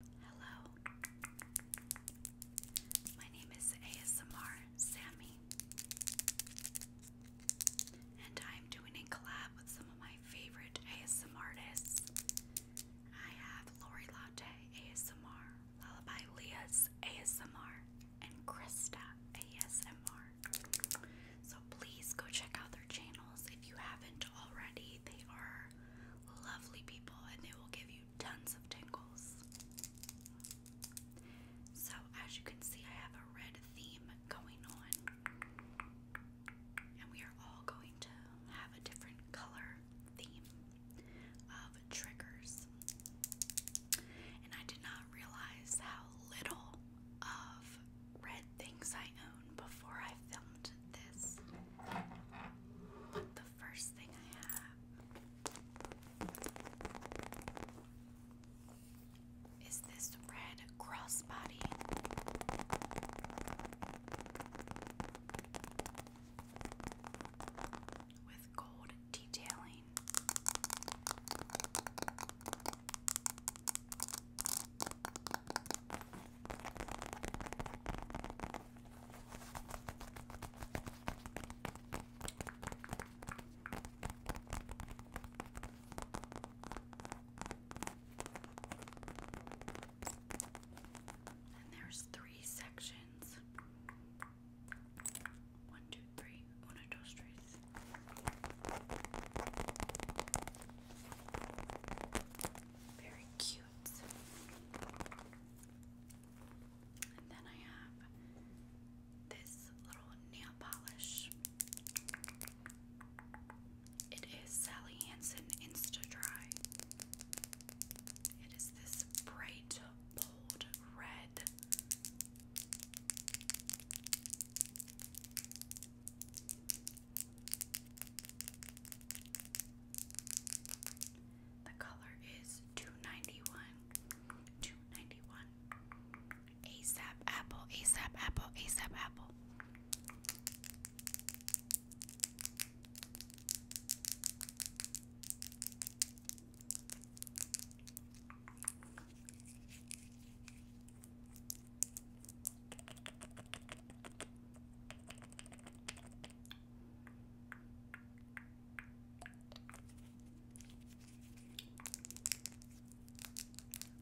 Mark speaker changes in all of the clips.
Speaker 1: Hello, my name is ASMR Sammy, and I'm doing a collab with some of my favorite ASMR artists. I have Lori Latte ASMR, Lullaby Leah's ASMR, and Krista ASMR. So please go check out their channels if you haven't already. They are lovely people and they will give you tons of tingles. So, as you can see, I have a red theme going on, and we are all going to have a different color theme of triggers. And I did not realize how little of red things I own before I filmed this. What the first thing I have is this red crossbody. With gold detailing. And there's three sections. One, two, three. Una, Very cute. And then I have this little nail polish. It is Sally Hansen Insta Dry. It is this bright, bold red. The color is 291. 291. ASAP apple, ASAP apple, ASAP apple.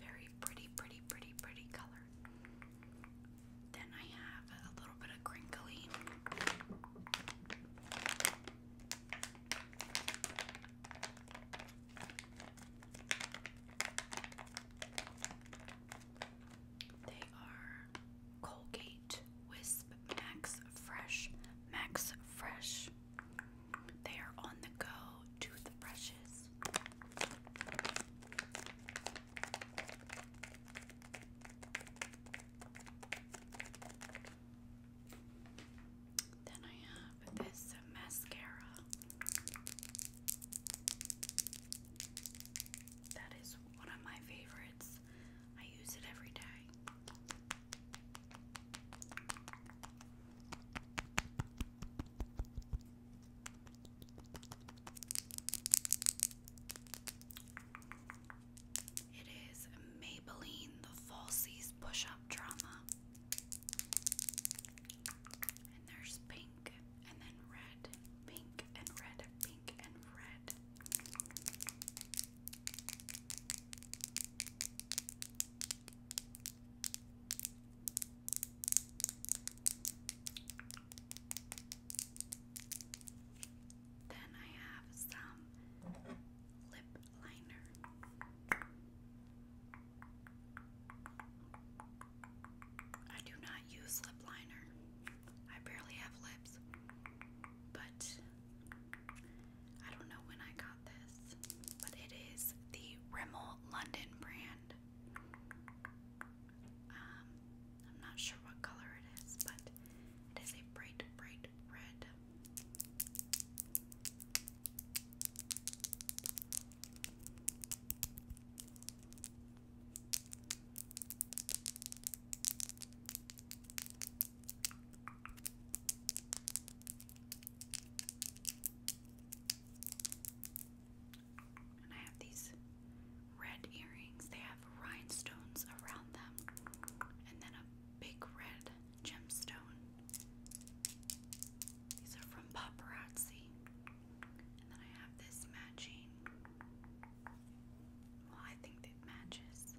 Speaker 1: Very pretty, pretty, pretty, pretty color. Then I have a little bit of crinkly. They are Colgate Wisp Max Fresh. Max Fresh. They are on the go tooth Then I have this mascara that is one of my favorites. I use it every day. It is Maybelline the Falsies Push Up Drama. And there's pink and then red, pink and red, pink and red. Then I have some lip liner. I do not use lip liner. I barely have lips, but I don't know when I got this, but it is the Rimmel London brand. Um, I'm not sure what color it is, but it is a bright, bright red. And I have these red earrings. They have rhinestones around them, and then a big red gemstone. These are from Paparazzi. And then I have this matching well, I think it matches.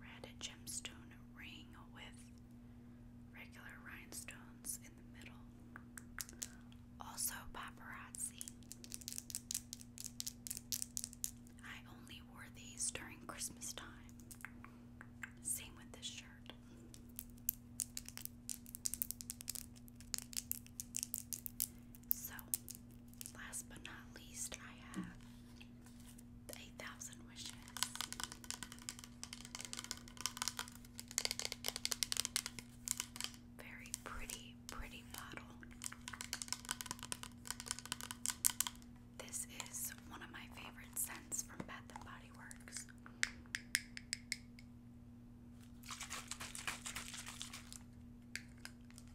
Speaker 1: Red gemstone ring with regular rhinestones in the middle. Also, paparazzi. I only wore these during Christmas time. Same with this shirt. So, last but not least, I have 8,000 wishes. Very pretty, pretty bottle. This is one of my favorite scents from Bath and Body Works.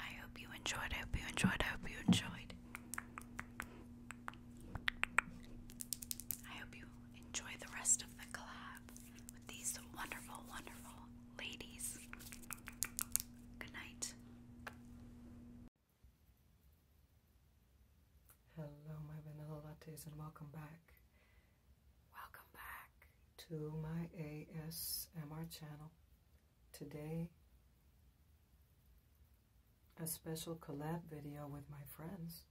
Speaker 1: I hope you enjoyed. I hope you enjoyed. I hope you enjoyed. I hope you enjoy the rest of the collab with these wonderful, wonderful ladies. Good night. Hello, my vanilla lattes, and welcome back. Welcome back to my ASMR channel. Today, a special collab video with my friends,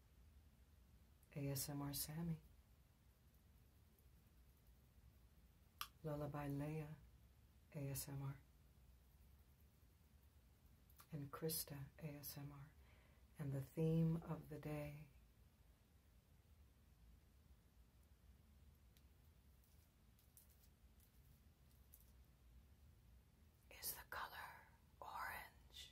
Speaker 1: ASMR Sammy. Lullaby Leia ASMR, and Krista ASMR. And the theme of the day
Speaker 2: is the color orange.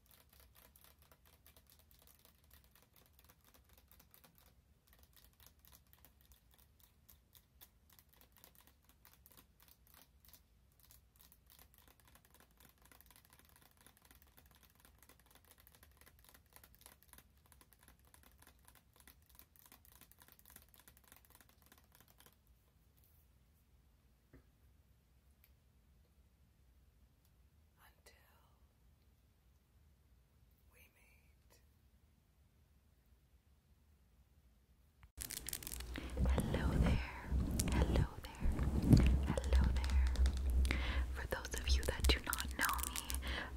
Speaker 2: until Hello there, hello there, hello there. For those of you that do not know me,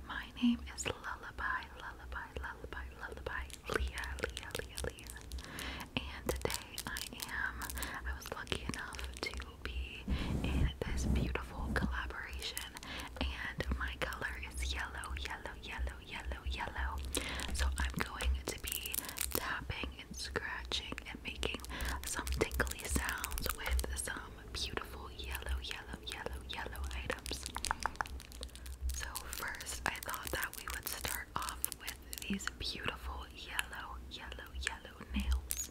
Speaker 2: my name is Lullaby, Lullaby, Lullaby, Lullaby, Leah, Leah, Leah, Leah. And today I am, I was lucky enough to Snoopy in this beautiful collaboration. And my color is yellow, yellow, yellow, yellow, yellow. So I'm going to be tapping and scratching and making some tinkly sounds with some beautiful yellow, yellow, yellow, yellow items. So, first, I thought that we would start off with these beautiful yellow, yellow, yellow nails.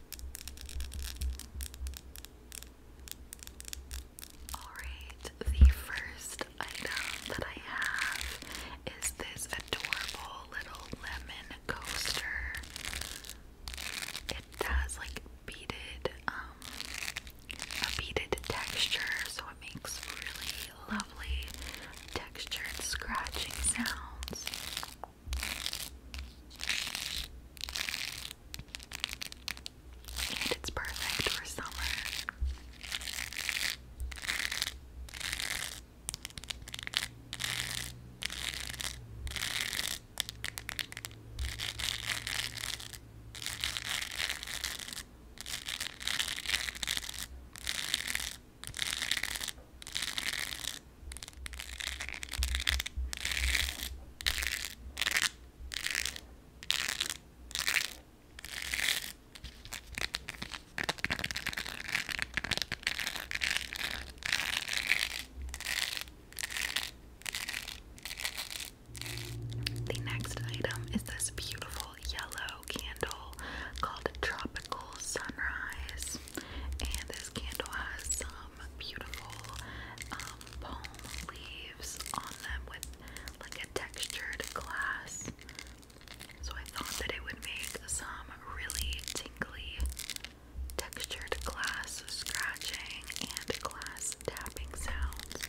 Speaker 2: Alright, the first item that I have is this adorable little lemon coaster. It has like beaded, um, a beaded texture, so it makes really lovely textured scratching sounds. And it's perfect for summer. The next item is this beautiful yellow candle called Tropical Sunrise. And this candle has um, beautiful um, palm leaves on them with like a textured glass. So I thought that it would make some really tingly textured glass scratching and glass tapping sounds.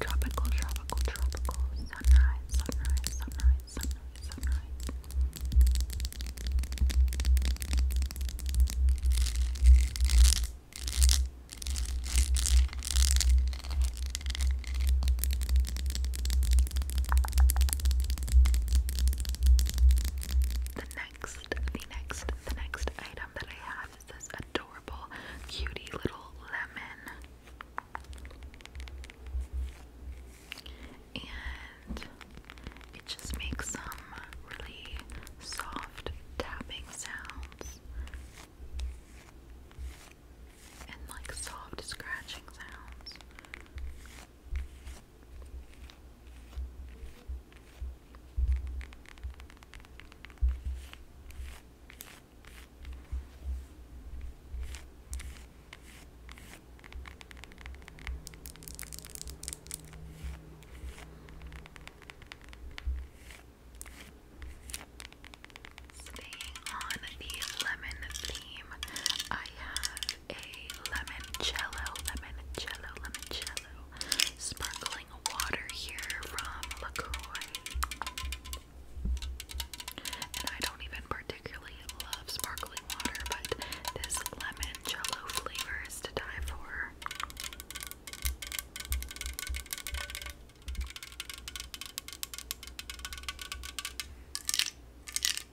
Speaker 2: Tropical, tropical, tropical. Sunrise, sunrise, sunrise, sunrise, sunrise. The next, the next, the next item that I have is this adorable, cutie little lemon. And it just makes some really soft tapping sounds and like soft scratching sounds. Staying on the lemon theme, I have a lemon Jello, lemon Jello, lemon Jello, sparkling water here from LaCroix. And I don't even particularly love sparkling water, but this lemon cello flavor is to die for.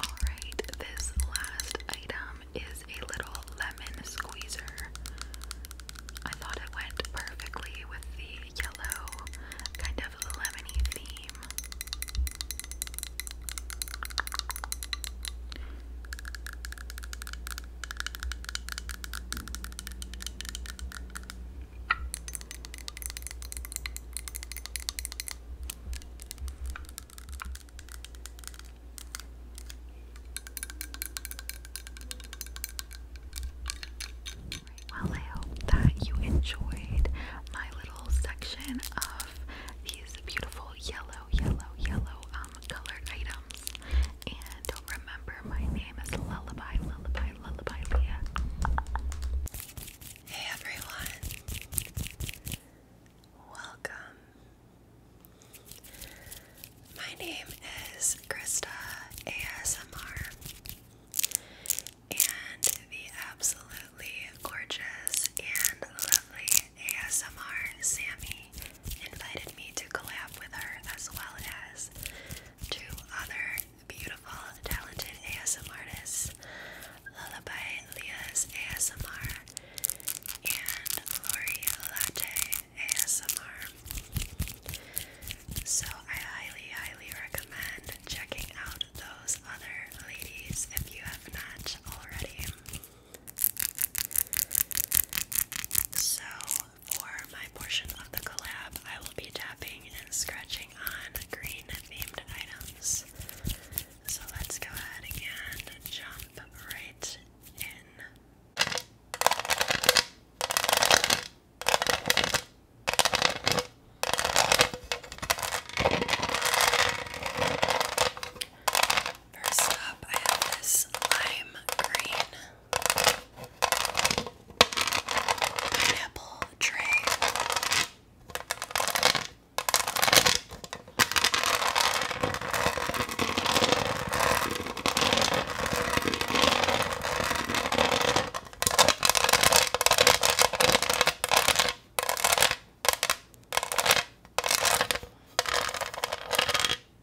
Speaker 2: Alright, this last item is a little lemon squeezer. I thought it went perfectly with the yellow, kind of lemony theme. Well, I hope that you enjoyed my little section of these beautiful yellow, yellow, yellow um, colored items. And remember, my name is Lullaby, Lullaby, Lullaby Hey everyone, welcome. My name is Krista ASMR, and the absolutely gorgeous and lovely ASMR Sammy invited me to collab with her as well as two other beautiful, talented ASMR artists, Lullaby Leah's ASMR and Lori Latte ASMR. So I highly, highly recommend checking out those other ladies if you have not already. So for my portion of the collab, I will be tapping and scratching on green themed items. So let's go ahead and jump right in. First up, I have this lime green nipple tray.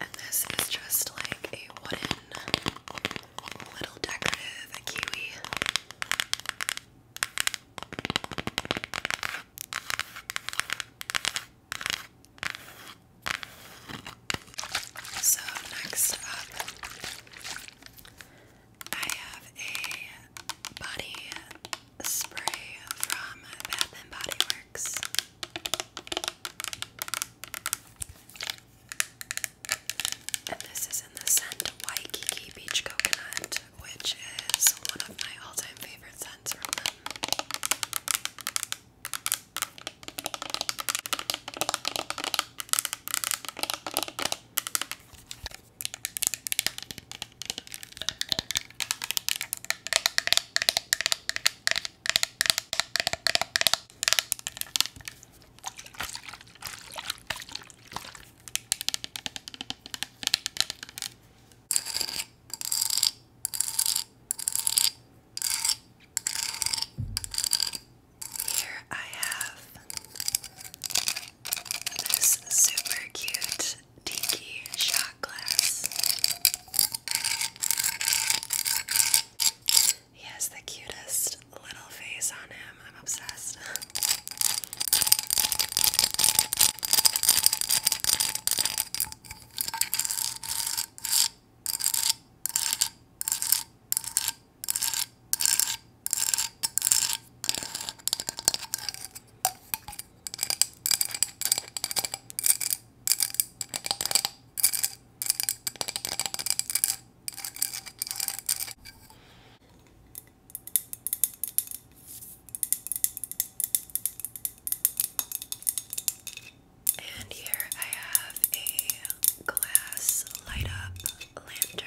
Speaker 2: And this is just like a wooden little decorative kiwi. So, next up, I have a body spray from Bath and Body Works. And this is in the scent Waikiki Beach Coconut, which is one of my all time favorite scents from them. Here I have this super cute tiki shot glass. He has the cutest little face on him. I'm obsessed. And here I have a glass light up lantern.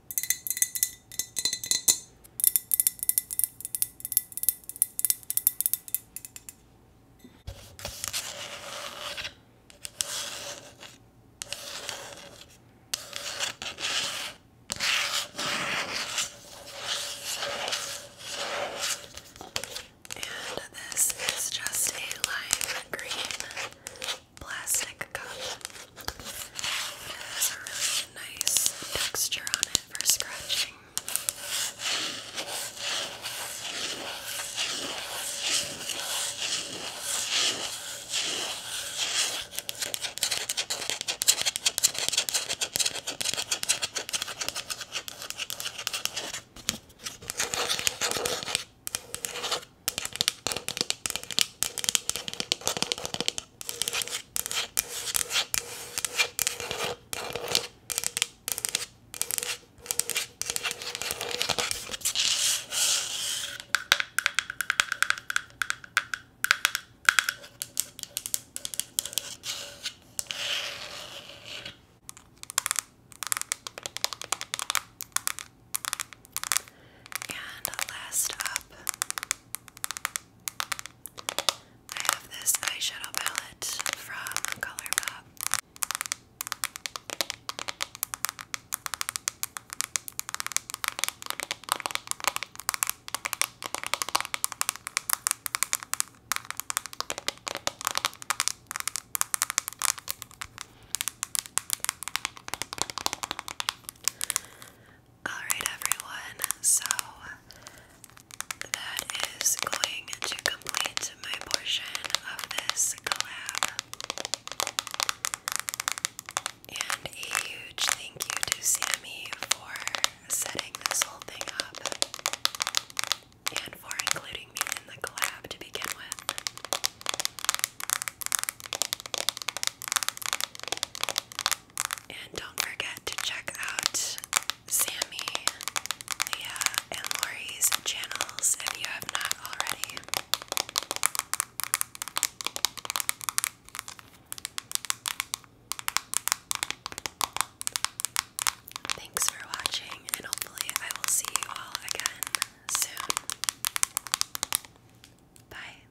Speaker 2: And this is just a lime green plastic cup nice texture on it for scratching. And last up, I have this eyeshadow palette from ColourPop. Alright, everyone, so that is going to complete my portion of this collab. And a huge thank you to Sammy for setting this whole thing up and for including me in the collab to begin with. And don't forget to check out Sammy, Leah, and Lori's channels if you have not already. Thanks for watching, and hopefully, I will see you all again soon. Bye.